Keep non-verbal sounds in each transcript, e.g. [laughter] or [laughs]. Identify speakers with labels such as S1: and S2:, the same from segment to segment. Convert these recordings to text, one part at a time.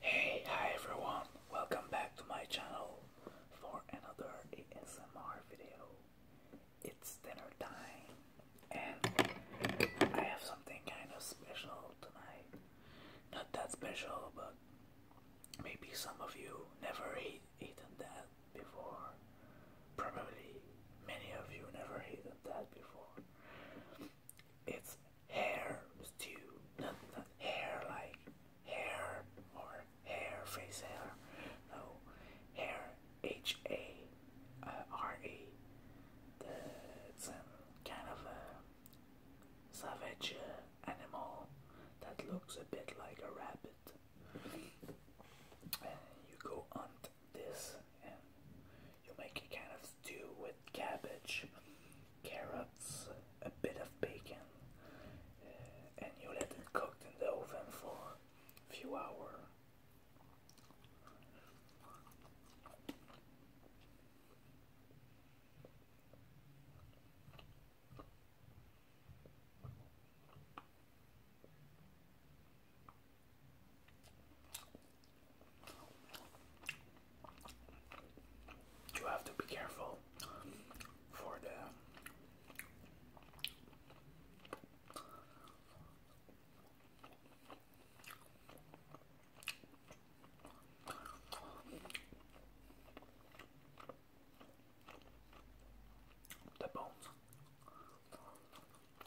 S1: Hey, hi everyone, welcome back to my channel for another ASMR video. It's dinner time and I have something kind of special tonight. Not that special, but maybe some of you never eaten that before. Probably many of you never eaten that before. It's hair stew, not, not hair like hair or hair, face hair, no, hair, H A uh, R E. It's um, kind of a savage uh, animal that looks a bit like a rabbit. you go hunt this, and you make a kind of stew with cabbage, carrots, a bit of bacon, eh, and you let it cook in the oven for a few hours. You have to be careful for the the bones.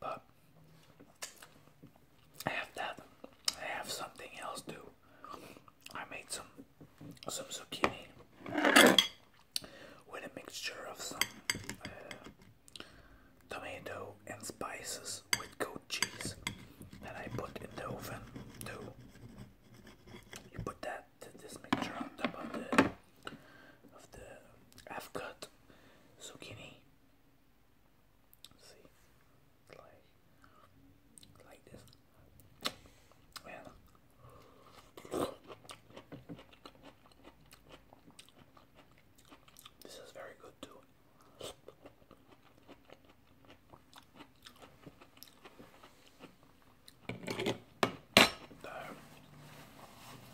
S1: But I have that. I have something else too. I made some some zucchini with a mixture of some uh, tomato and spices with goat cheese that I put in the oven too. You put that this mixture on top of the of the half cut zucchini. See, like like this. This is very good too.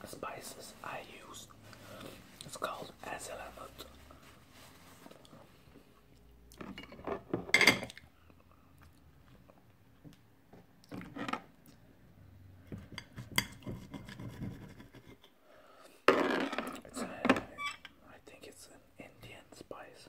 S1: The spices I use it's called hazelnut. It's an, I think it's an Indian spice.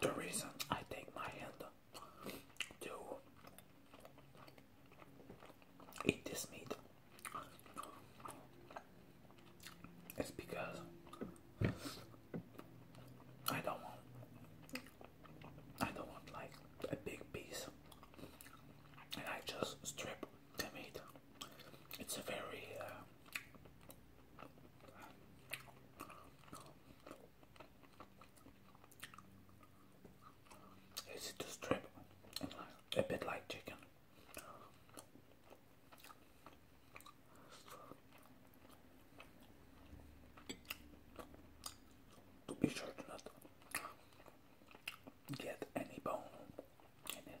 S1: The reason I take my hand to eat this meat is because I don't want I don't want like a big piece and I just strip tomato. It's a very uh, easy to a bit like chicken. To be sure not get any bone in it.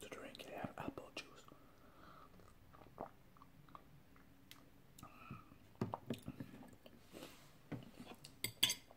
S1: To drink, I have apple juice.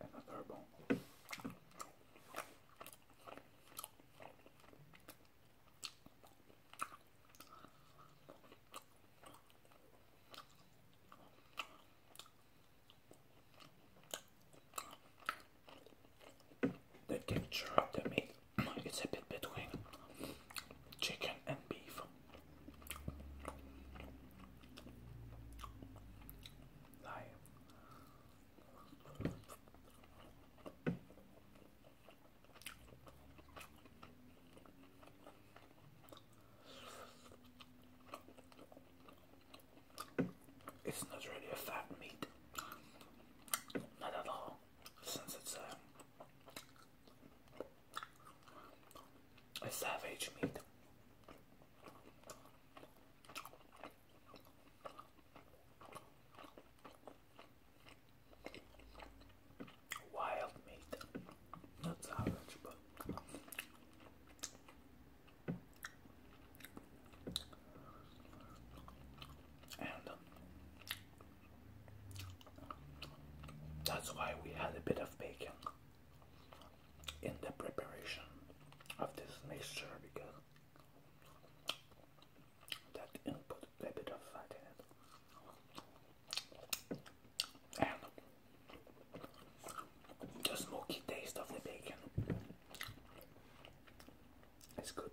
S1: and the third bone. They can chop the meat it's a bit between chicken and beef. it's not really a fat meat, not at all, since it's a uh, a savage meat. Wild meat, not savage, but and um, that's why we had a bit of bacon in the preparation of this mixture because that input a bit of fat in it. And the smoky taste of the bacon is good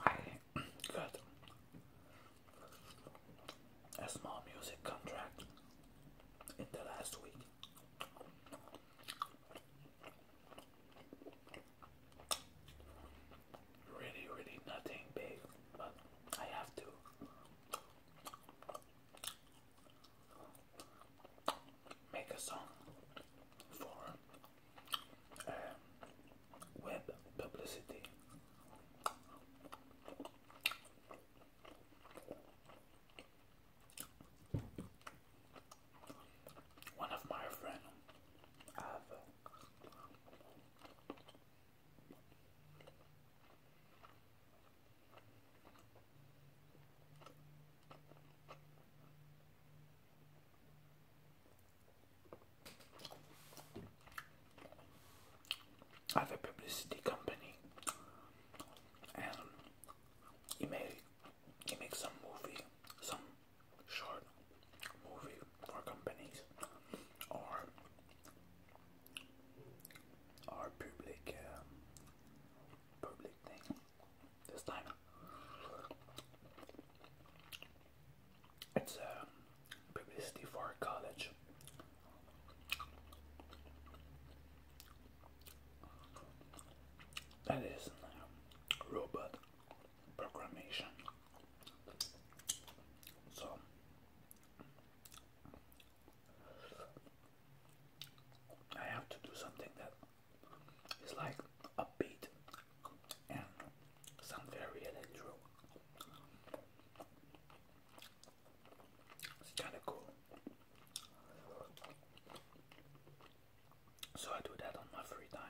S1: I got a small music contract in the last week. Really, really nothing big, but I have to. Make a song for um, web publicity. One of my friends have a publicity company he made he makes some movie, some short movie for companies or or public um, public thing. This time it's a um, publicity for college. That is um, robot programmation. So I have to do something that is like upbeat and sound very electro. It's kind of cool. So I do that on my free time.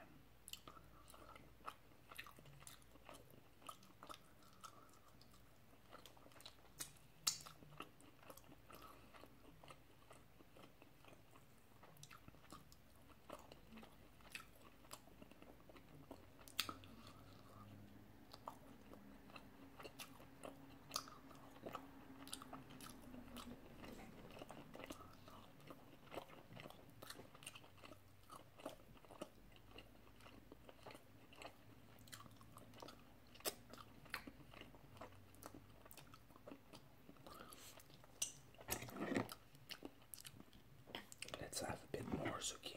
S1: Let's have a bit more zucchini.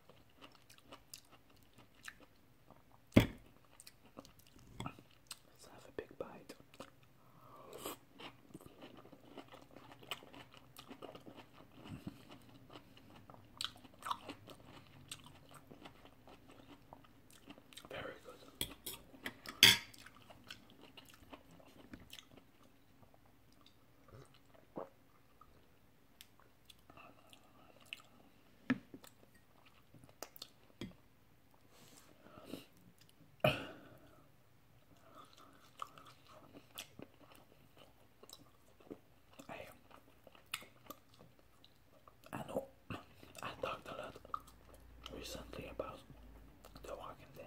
S1: Let's have a big bite. Very good. Hey, I know I talked a lot recently about The Walking Dead.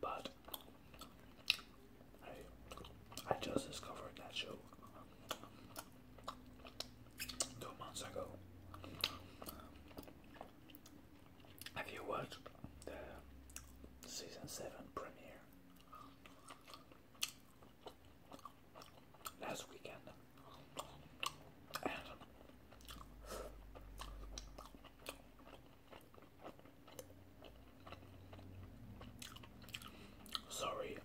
S1: But I, just discovered that show two months ago. Have you watched the season seven premiere last weekend? Sorry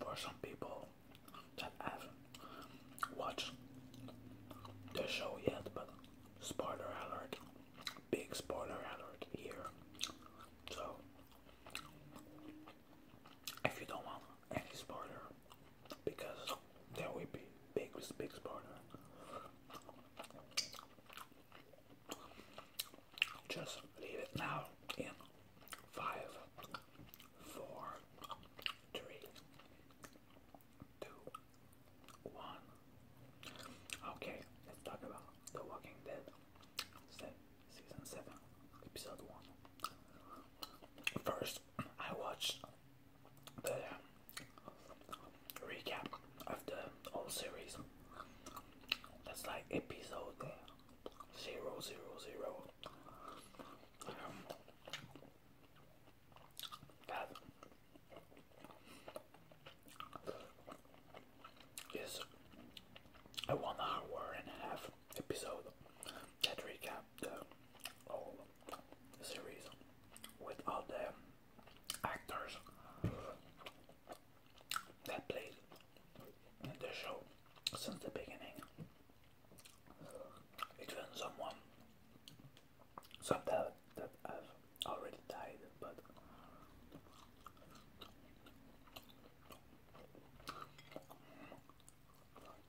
S1: for some people that haven't watched the show yet, but spoiler alert, big spoiler alert here. So, if you don't want any spoiler, because there will be big, big partner. Just leave it now in five, four, three, two, one. Okay, let's talk about The Walking Dead, season seven, episode one. First, I watched the recap of the whole series. That's like episode zero zero zero. Um, that is a one hour and a half episode that recap the whole series with all the actors that played in the show since the beginning. Even someone, some that, that have already died, but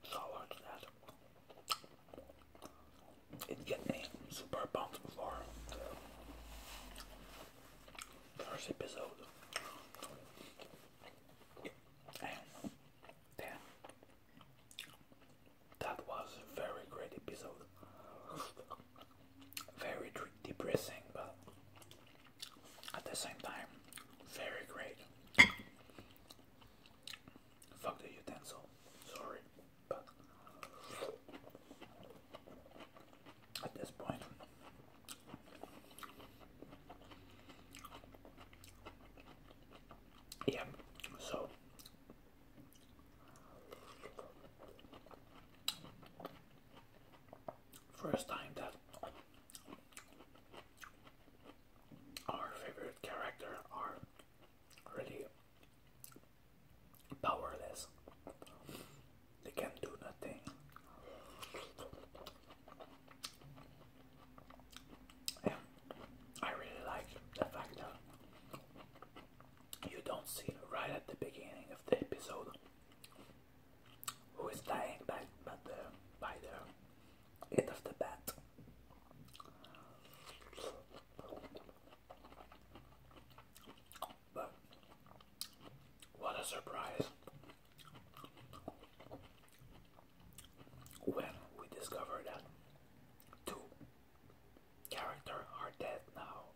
S1: Solid that. It get me super pumped for the first episode. And that was a very great episode. Very depressing, but at the same time, very great. Fuck the utensil. Sorry. But at this point, yeah, so first time that our favorite character, our really powerless. They can not do nothing. And I really like the fact that you don't see right at the beginning of the episode who is dying by, by the by the Get off the bat. what a surprise when we discover two characters are dead now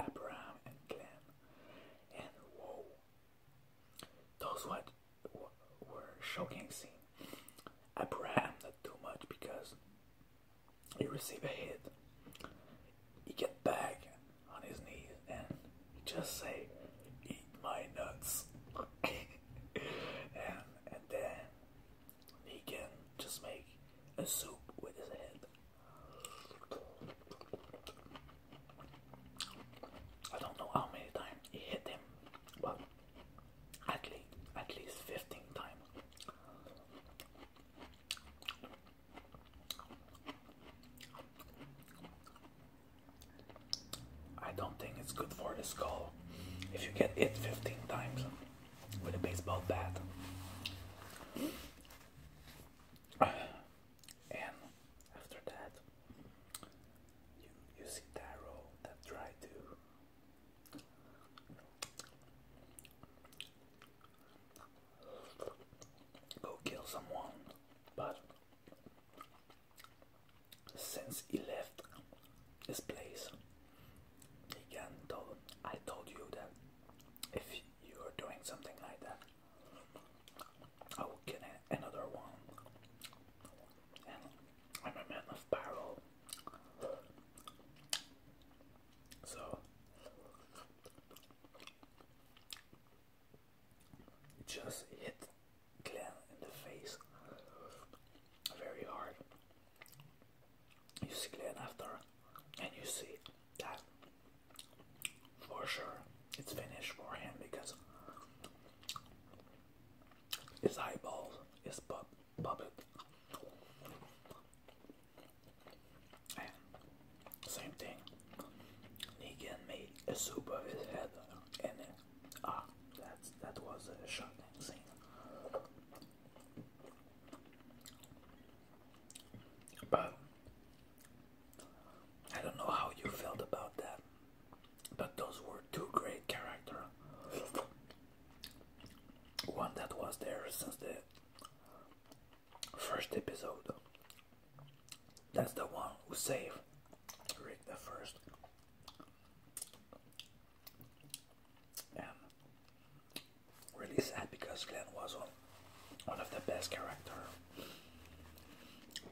S1: Abraham and Glenn. And whoa, those what were I Abraham not too much because you receive a hit. you get back on his knees and he just say, "Eat my nuts," [laughs] and and then he can just make a soup with his head. I don't know how many times he hit him, but at least at least 15 times I don't think it's good for the skull if you get hit 15 times with a baseball bat and after that you you see that that tried to go kill someone, but since he left this place, again told I told you that if you are doing something like that, I will get another one. I'm a man of barrel, So just hit Glenn in the face very hard. You see Glenn after, and you see that for sure it's finished for him because his eyeballs, his pub puppet. And same thing. He again made a soup of his head, and then, ah, that's that was a shocking scene. But I don't know how you felt about that. But those were two great characters. One that was there since the first episode. That's the one who saved Rick the first. And really sad because Glenn was one, of the best character.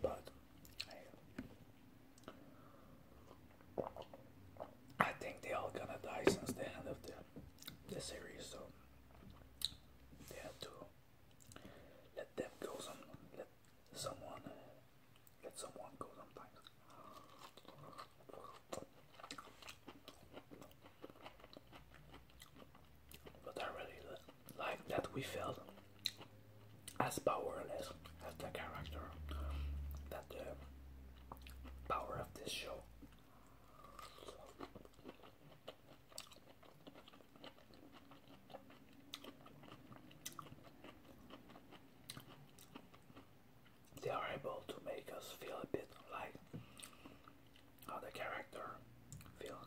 S1: But I think they all gonna die since the end of the, the series, so they have to let them go. Some let someone let someone go sometimes. But I really like that we felt as powerless as the character that the power of this show. They are able to make us feel a bit like how the character feels.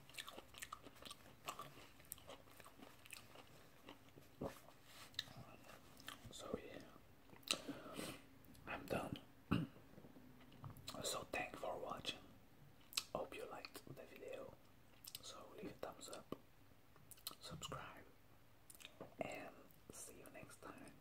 S1: So yeah, I'm done. [clears throat] so thanks for watching. Hope you liked the video. So leave a thumbs up, subscribe, and see you next time.